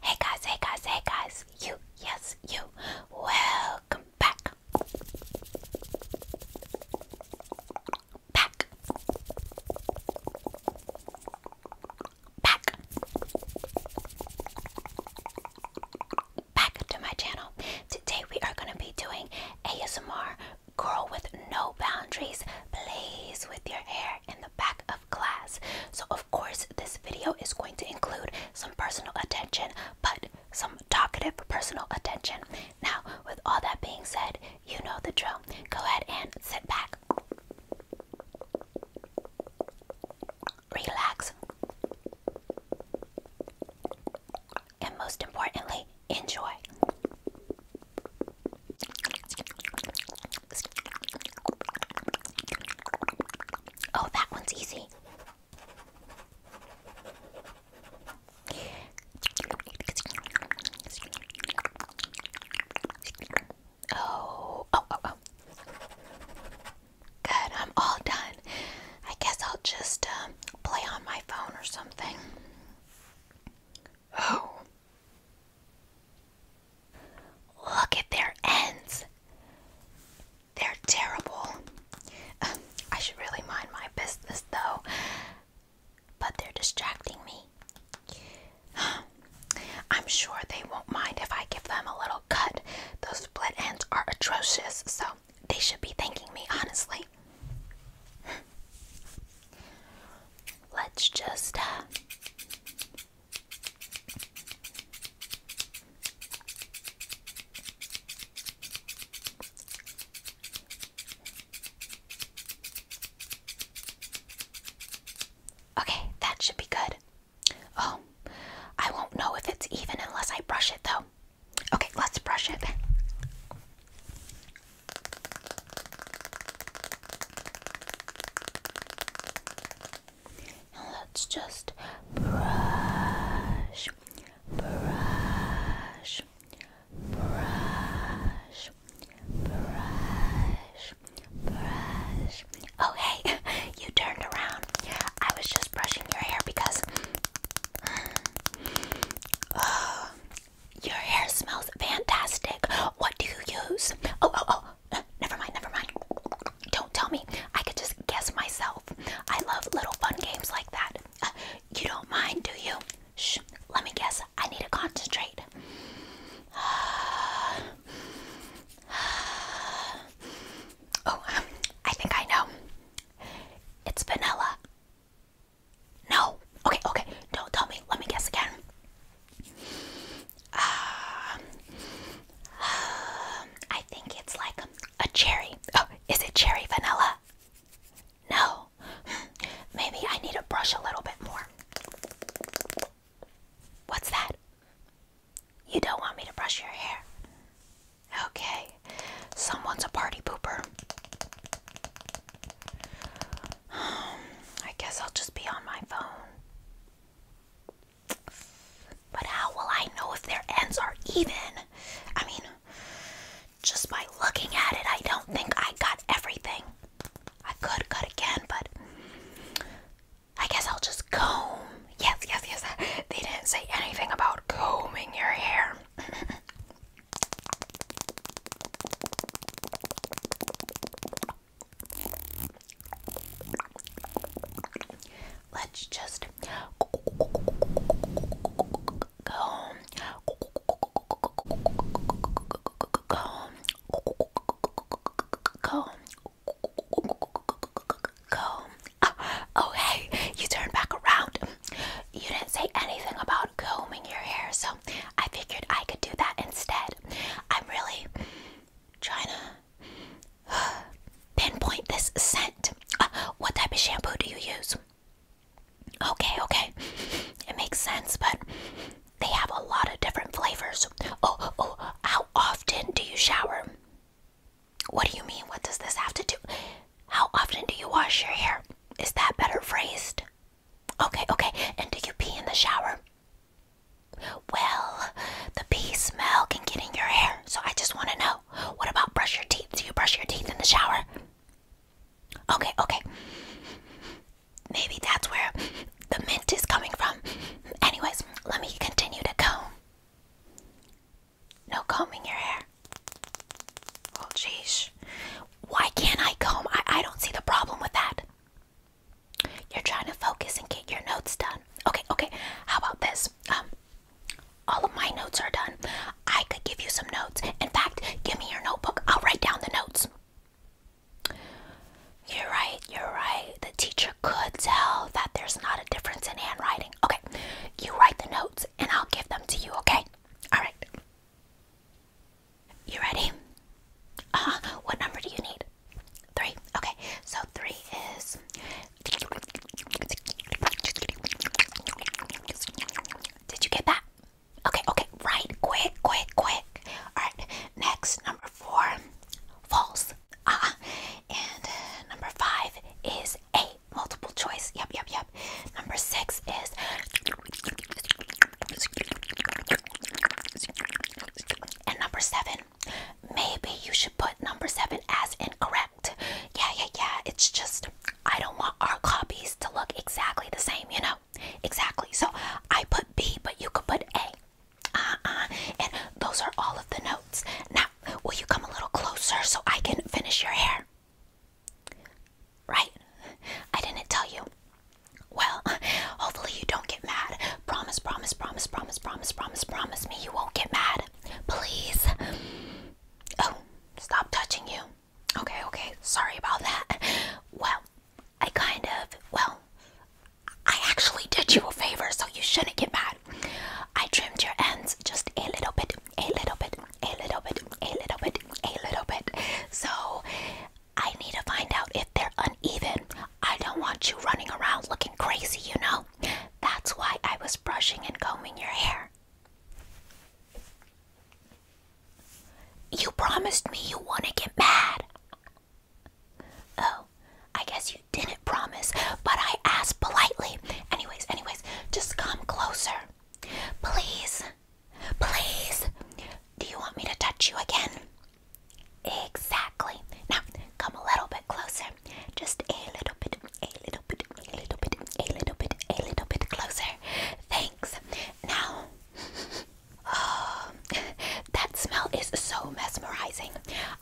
Hey guys, hey guys, hey guys, you, yes, you, welcome back. Back. Back. Back to my channel. Today we are going to be doing ASMR girl with no boundaries plays with your hair in the back of class. So, of course, this video is going to include some personal attention, but some talkative personal attention. Now, with all that being said, you know the drill. Go ahead and sit back, relax, and most importantly, enjoy. Oh, that one's easy. Oh, oh, oh, Good, I'm all done. I guess I'll just um, play on my phone or something. Oh. Look at their ends. They're terrible. Um, I should really mind my business though, but they're distracting me. I'm sure they won't mind if I give them a little cut. Those split ends are atrocious, so they should be thanking me, honestly. Let's just uh, Okay, that should be good. Oh, I won't know if it's even unless I brush it though. Okay, let's brush it. And let's just brush, brush, brush, brush, brush. Oh, hey, you turned around. I was just brushing your hair because. Oh, your hair smells fantastic. What do you use? Oh, oh, oh. never mind, never mind. Don't tell me. I could just guess myself. I love little fun games like that. Uh, you don't mind, do you? Shh. Let me guess. I need to concentrate. oh, um, I think I know. It's vanilla. No. Okay, okay. Don't tell me. Let me guess again. Uh, uh, I think it's like a cherry. Oh, is it cherry vanilla? No. Maybe I need to brush a little bit more. What's that? You don't want me to brush your hair. Okay. Someone's a party pooper. Um, I guess I'll just be on my phone. But how will I know if their ends are even? I mean, just by looking at it, I don't think I got everything. I could cut again, but I guess I'll just comb. Yes, yes, yes. They didn't say anything about combing your hair. Let's just go. Go. Go. Go. Oh, hey, you turned back around. You didn't say anything about combing your hair, so I figured I could do that instead. I'm really trying to pinpoint this scent. Uh, what type of shampoo do you use? Okay, okay. It makes sense, but they have a lot of different flavors. Oh, oh, how often do you shower? What do you mean? What does this have to do? How often do you wash your hair? Is that better phrased? Okay, okay. And do you pee in the shower? Well, the pee smell can get in your hair, so I just want to know what about brush your teeth? Do you brush your teeth in the shower? Okay, okay. Maybe that's where the mint is coming from. Anyways, let me continue to comb. No combing your hair. Oh, jeez. Why can't I comb? I, I don't see the problem with that. You're trying to focus and get your notes done. Okay, okay. How about this? Um, all of my notes are done. I could give you some notes. In fact, give me your notebook. I'll write down the notes. You're right, you're right. The teacher could tell that there's not a difference in handwriting. Okay, you write the notes and I'll give them to you, okay? All right. You ready? Uh What number do you need? Three. Okay. So three is. Did you get that? Okay. Okay. Right. Quick. Quick. Quick. All right. Next, number four, false. Uh And number five is a multiple choice. Yep. Yep. Yep. Number six is. And number seven, maybe you should put number seven as incorrect. Yeah, yeah, yeah. It's just I don't want our copies to look exactly the same, you know? Exactly. So I put B, but you could put A. Uh uh. And those are all of the notes. Now, will you come a little closer so I can finish your hair? Right? I didn't tell you. Well, hopefully you don't get mad. Promise, promise, promise, promise, promise, promise, promise me you won't get mad. Please. Oh, stop touching you. Okay, okay. Sorry about that. Well, I kind of, well, I actually did you a favor, so you shouldn't get mad. I trimmed your ends just a little bit, a little bit, a little bit, a little bit, a little bit. So I need to find out if they're uneven. I don't want you running around looking crazy, you know? That's why I was brushing and combing your hair. You promised me you wouldn't get mad. Oh, I guess you didn't promise, but I asked politely. Anyways, anyways, just come closer. Please, please. Do you want me to touch you again? Exactly. Now, come a little bit closer. Just a little bit, a little bit, a little bit, a little bit, a little bit closer. Thanks. Now, oh, that smell is so mesmerizing.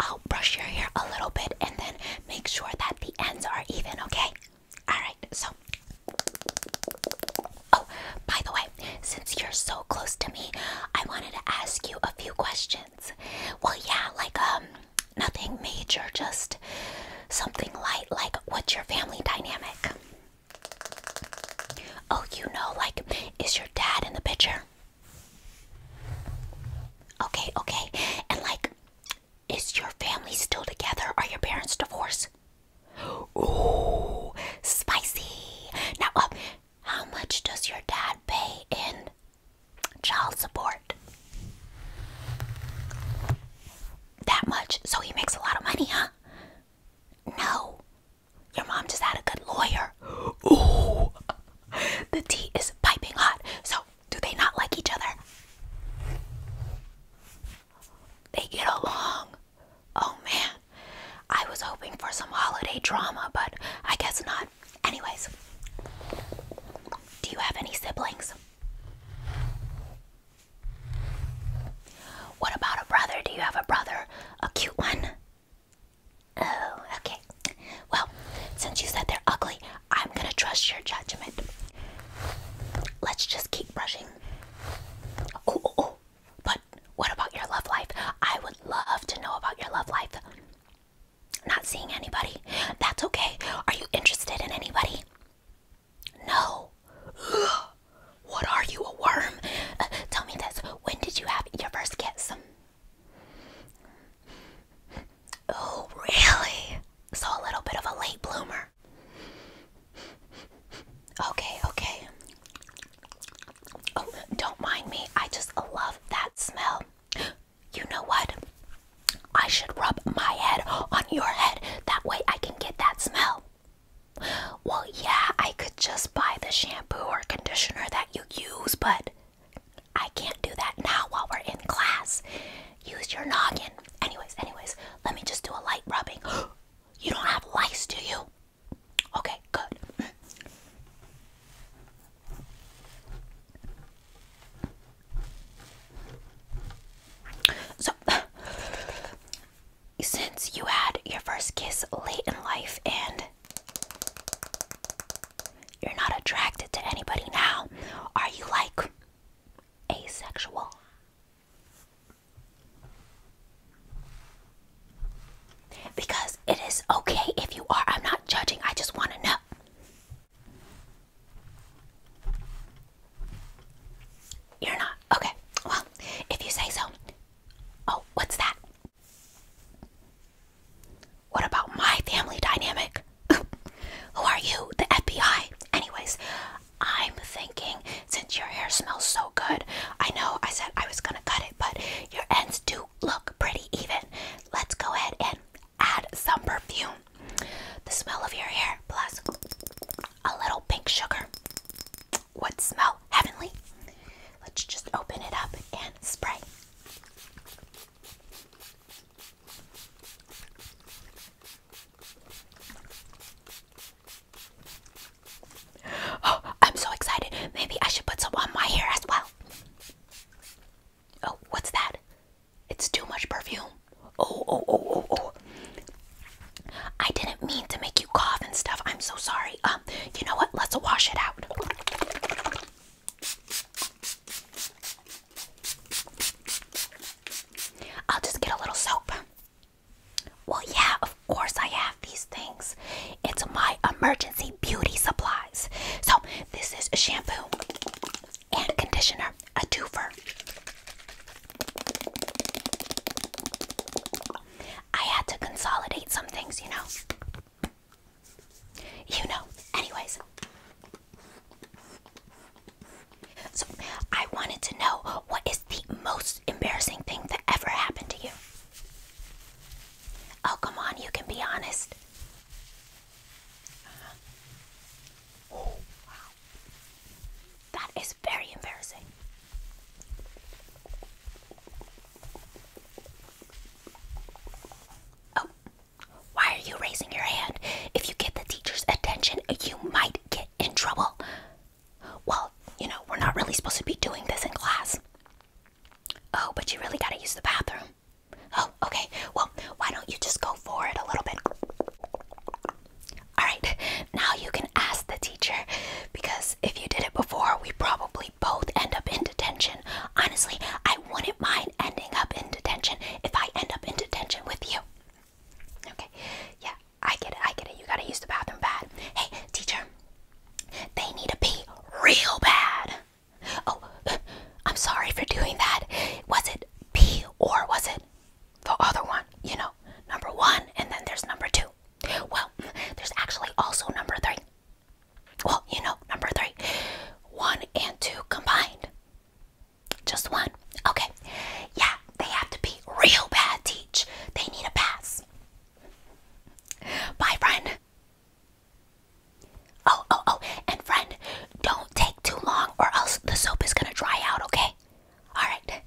I'll brush your hair a little bit and then make sure that the ends are even, okay? Alright, so. Oh, by the way, since you're so close to me, I wanted to ask you a few questions. Well, yeah, like, um, nothing major, just something light, like, what's your family dynamic? Oh, you know, like, is your dad in the picture? Okay, okay. And, like, is your family still together? Are your parents divorced? Ooh, spicy. Now, uh, how much does your dad pay in child support? That much. So he makes a lot of money, huh? No. Your mom just had a good lawyer. Ooh. The tea is piping hot. So, do they not like each other? They get along. Oh man. I was hoping for some holiday drama, but I guess not. Anyways, do you have any siblings? What about a brother? Do you have a brother? A cute one? Oh, okay. Well, since you said they're ugly, I'm gonna trust your judgment. Let's just keep brushing. Oh, oh, oh. But what about your love life? I would love to know about your love life. Not seeing anybody? That's okay. Are you interested in anybody? No. What are you, a worm? Uh, tell me this. When did you have your first kiss? Oh, really? So a little bit of a late bloomer. Okay, okay. Oh, don't mind me. I just love that smell. You know what? I should rub my head on your head. That way I can get that smell. Well, yeah, I could just buy the shampoo or conditioner that you use, but I can't do that now while we're in class. Use your noggin. Anyways, anyways, let me just do a light rubbing. you don't have lice, do you? Okay, good. So, since you had your first kiss late in life and you're not attracted to anybody now, are you like asexual? Because it is okay if you are. I'm not judging, I just want to know. You're not? Okay. Well, if you say so. Oh, what's that? What about my family dynamic? Who are you? The FBI. Anyways, I'm thinking since your hair smells so good, I know I said I was gonna cut it, but your ends do look pretty even, let's go ahead and add some perfume. The smell of your hair plus a little pink sugar would smell heavenly. Let's just open it up and spray. Oh, I'm so excited. Maybe I should put some on my hair as well. Oh, what's that? It's too much perfume. Oh, oh, oh, oh, oh. I didn't mean to make you cough and stuff. I'm so sorry. Um, you know what? Let's wash it out. I'll just get a little soap. Well, yeah, of course I am these things. It's my emergency beauty supplies. So, this is a shampoo and conditioner, a twofer. I had to consolidate some things, you know. You know. Anyways. So, I wanted to know what is the most embarrassing thing that ever happened to you? Oh, come on, you can be honest. Uh-huh. Oh, that is very embarrassing. Oh, why are you raising your hand? If you get the teacher's attention, you might get in trouble. Well, you know, we're not really supposed to be doing this in class. Oh, but you really gotta use the bathroom. Oh, okay. Well, why don't you just go for it a little bit? Alright, now you can ask the teacher because if you did it before, we probably both end up in detention. Honestly, I wouldn't mind ending up in detention if I end up in detention with you. Okay, yeah, I get it, I get it. You gotta use the bathroom bad. Hey, teacher, they need to pee real bad. Oh, I'm sorry for doing that. Was it P or was it the other one? You know, number one, and then there's number two. Well, there's actually also number three. Well, you know, number three. One and two combined. Just one. Okay. Yeah, they have to be real bad, teach. They need a pass. Bye, friend. Oh, oh, oh, and friend, don't take too long or else the soap is gonna dry out, okay? Alright.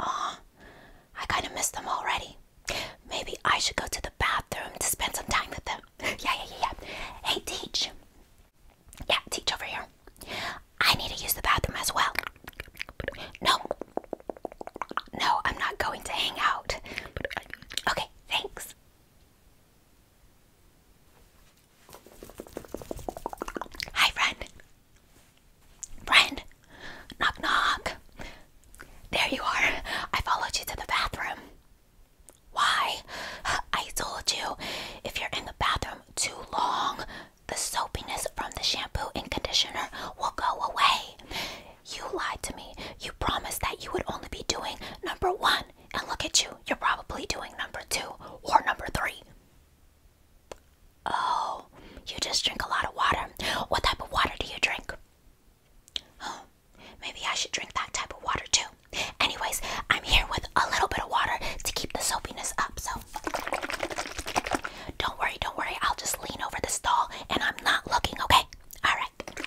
Aw, I kinda miss them already. Maybe I should go to the bathroom to spend some time with them. Yeah, yeah, yeah, yeah. Hey, Teach. Yeah, Teach over here. I need to use the bathroom as well. No, no, I'm not going to hang out. But I, okay, thanks. Hi, friend. Friend, knock knock. There you are. I followed you to the bathroom. Why? I told you, if you're in the bathroom too long, the soapiness from the shampoo and conditioner will go away. You lied to me. You promised that you would only be doing number one, and look at you. You're probably doing number two or number three. Oh, you just drink a lot of water. What type of water do you drink? Oh, maybe I should drink that type of water too. Anyways, I'm here with a little bit of water to keep the soapiness up, so don't worry, don't worry. I'll just lean over the stall and I'm not looking, okay? All right.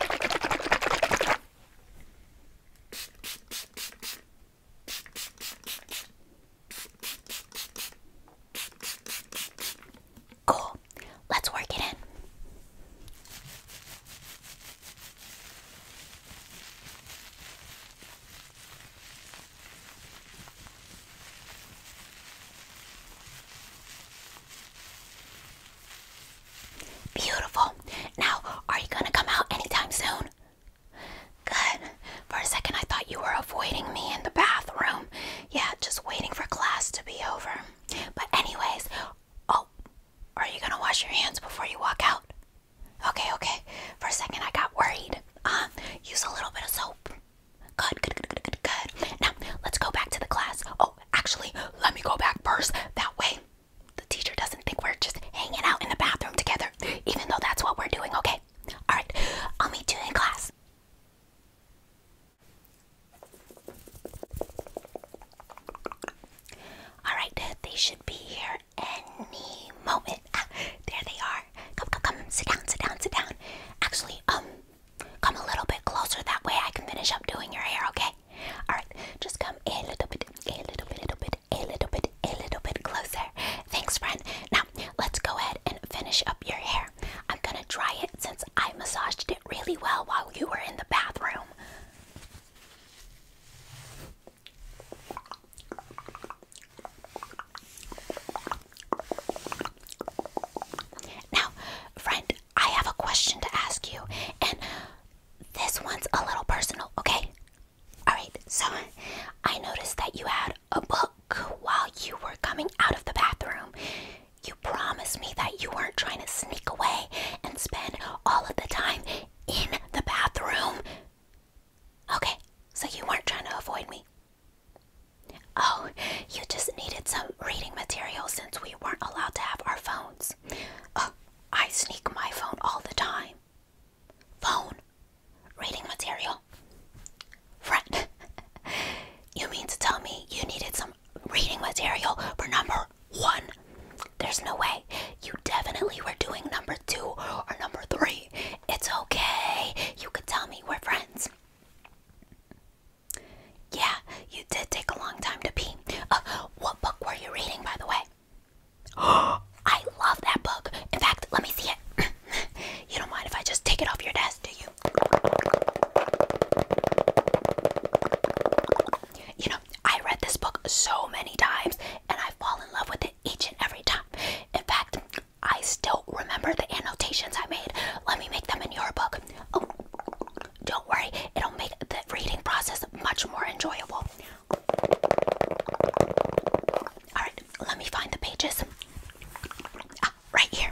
Cool. Let's work it in. Beautiful. Now, are you gonna come out anytime soon? Good. For a second, I thought you were avoiding me in the bathroom. Yeah, just waiting for class to be over. But, anyways, oh, are you gonna wash your hands before you walk out? Okay, okay. For a second, I got worried. Um, use a little bit of soap. Good, good, good, good, now, let's go back to the class. Oh, actually, let me go back first. That way, the teacher doesn't think we're just hanging out in the bathroom together, even though that's what we're doing, okay? All right, I'll meet you in class. All right, they should be here any moment. Ah, there they are. Come, come, come. Sit down, sit down, sit down. Actually, um, Come a little bit closer, that way I can finish up doing your hair, okay? Alright, just come a little bit, a little bit, a little bit, a little bit, a little bit closer. Thanks, friend. Now, let's go ahead and finish up your hair. I'm gonna dry it since I massaged it really well while you were in the bathroom. Now, friend, I have a question to ask you, and this one's a little personal, okay? Alright, so I noticed that you had a book while you were coming out of the bathroom. You promised me that you weren't trying to sneak away and spend all of the time in the bathroom. Okay, so you weren't trying to avoid me. Oh, you just needed some reading material since we we weren't allowed to have our phones. I sneak my phone all the time. Phone? Reading material? Friend, you mean to tell me you needed some reading material for number one? There's no way. You definitely were doing number two or number three. It's okay. You could tell me we're friends. Yeah, you did take a long time to pee. Uh, what book were you reading, by the way? I love that book. In fact, let me see it. you don't mind if I just take it off your desk, do you? You know, I read this book so many times and I fall in love with it each and every time. In fact, I still remember the annotations I made. Let me make them in your book. Oh. Don't worry, it'll make the reading process much more enjoyable. Alright, let me find the pages. Ah, right here.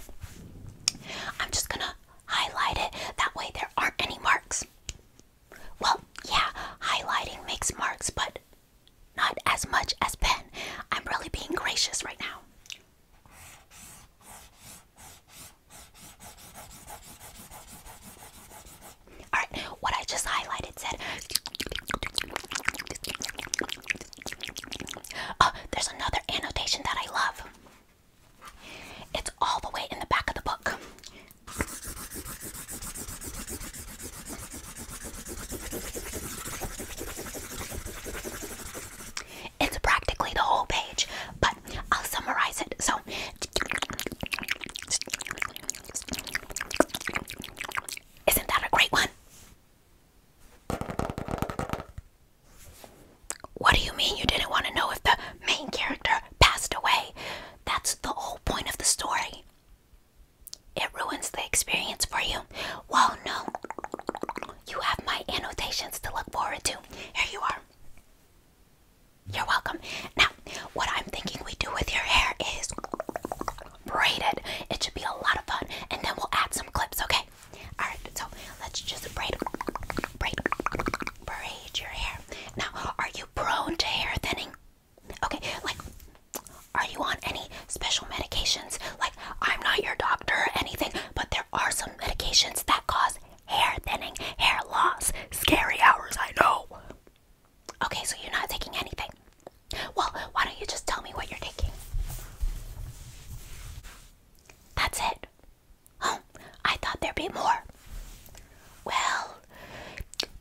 I'm just gonna highlight it, that way there aren't any marks. Well, yeah, highlighting makes marks, but not as much as pen. I'm really being gracious right now. Alright, what I just highlighted said. Oh, there's another annotation that I love. It's all the way in the back of the book. It's practically the whole page, but I'll summarize it. So, isn't that a great one? What do you mean you didn't want to know if the main character passed away? That's the whole point of the story. It ruins the experience for you. Well, no. You have my annotations to look forward to. Here you are. You're welcome. Now, what I'm thinking we do with your hair is braid it. It should be a lot of fun, and then we'll add some clips, okay? Alright, so let's just braid, braid, braid your hair. Now, are you prone to hair thinning? Okay, like, are you on any special medications? Like, I'm not your doctor or anything, but there are some medications that cause hair thinning, hair loss, scary hours, I know. Okay, so you're not taking anything. Well, why don't you just tell me what you're taking? That's it. Oh, I thought there'd be more. Well,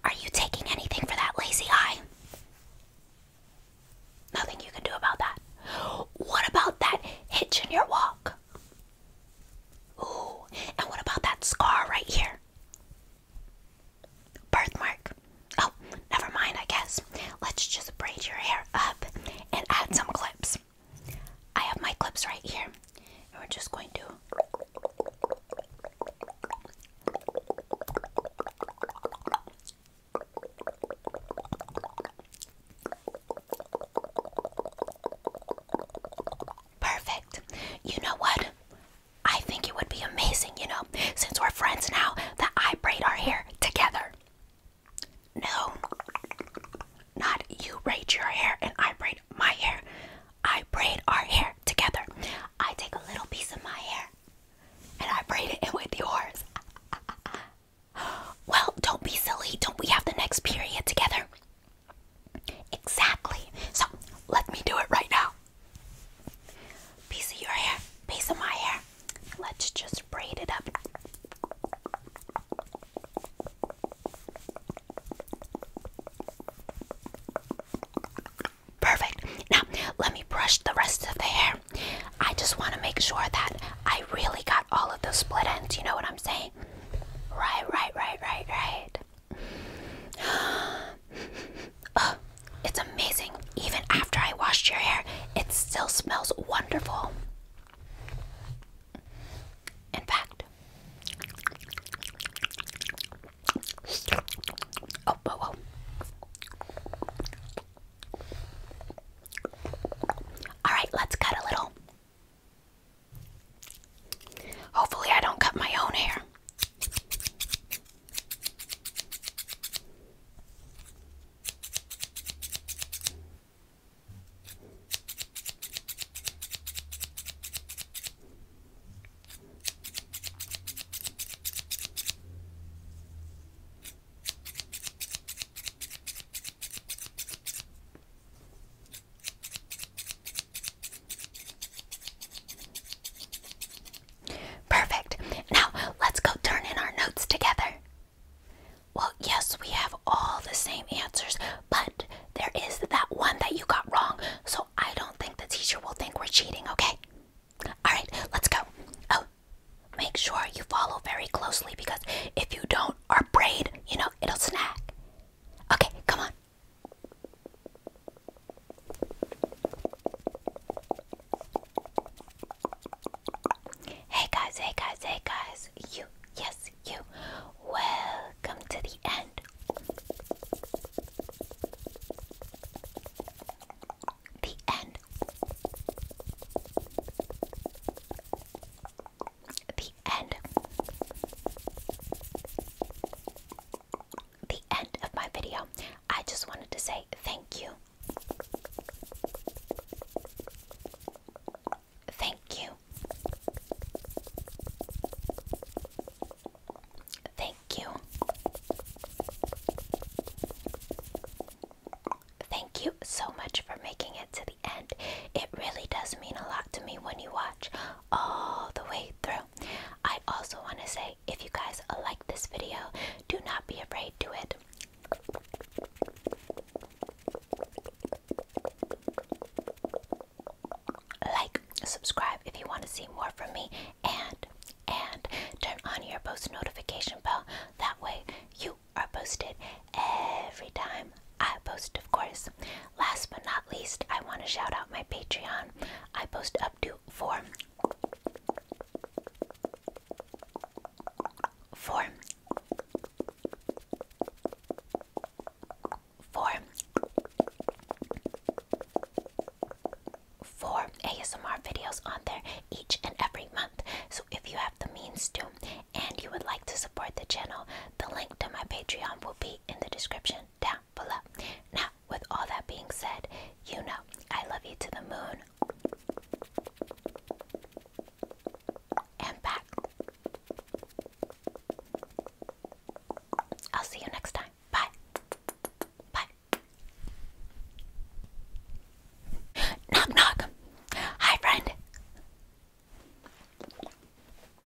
are you taking anything for that lazy eye? Nothing you can do about that. What about that hitch in your walk? Ooh, and what about that scar right here? Birthmark. Oh, never mind, I guess. Let's just braid your hair up and add some clips. I have my clips right here, we're just going to. Perfect. You know what? I think it would be amazing, you know, since we're friends now, that I braid our hair together. No, not you braid your hair and I braid my hair. I braid our hair together. I take a little piece of my hair and I braid it in with yours. well, don't be silly. Don't we have the next period together? Exactly. So let me do it right now. Piece of your hair, piece of my hair. Let's just braid it up. Perfect. Now, let me brush the rest of the hair. I just want to make sure that I really got all of those split ends. You know what I'm saying? right? Right, right, right, right, right. oh, it's amazing. Even after I washed your hair, it still smells wonderful. In fact, oh, whoa, whoa. All right, let's cut a little. Hopefully, I don't cut my own hair. Perfect. Now let's go turn in our notes together. Well, yes, we have all the same answers, but there is that one that you got wrong, so I don't think the teacher will think we're cheating, okay? Alright, let's go. Oh, make sure you follow very closely because if you don't, our braid, you know, it'll snag. Okay, come on. Hey guys, hey guys, hey guys, you, yes, you, welcome to the end. The end. The end. The end of my video. I just wanted to say thank you. Thank you. Thank you. Thank you so much for making it to the end. It really does mean a lot to me when you watch all the way through. I also want to say if you guys like this video, do not be afraid to it. Like, subscribe if you want to see more from me and and turn on your post notification bell. That way you are posted every time I post, of course. Last but not least, I want to shout out my Patreon. I post up to four, four, four, four ASMR videos on there each and every month. So if you have the means to, and you would like to support the channel, the link to my Patreon will be in the description down below. Now, with all that being said, you know I love you to the moon and back. I'll see you next time. Bye. Bye. Knock, knock. Hi, friend.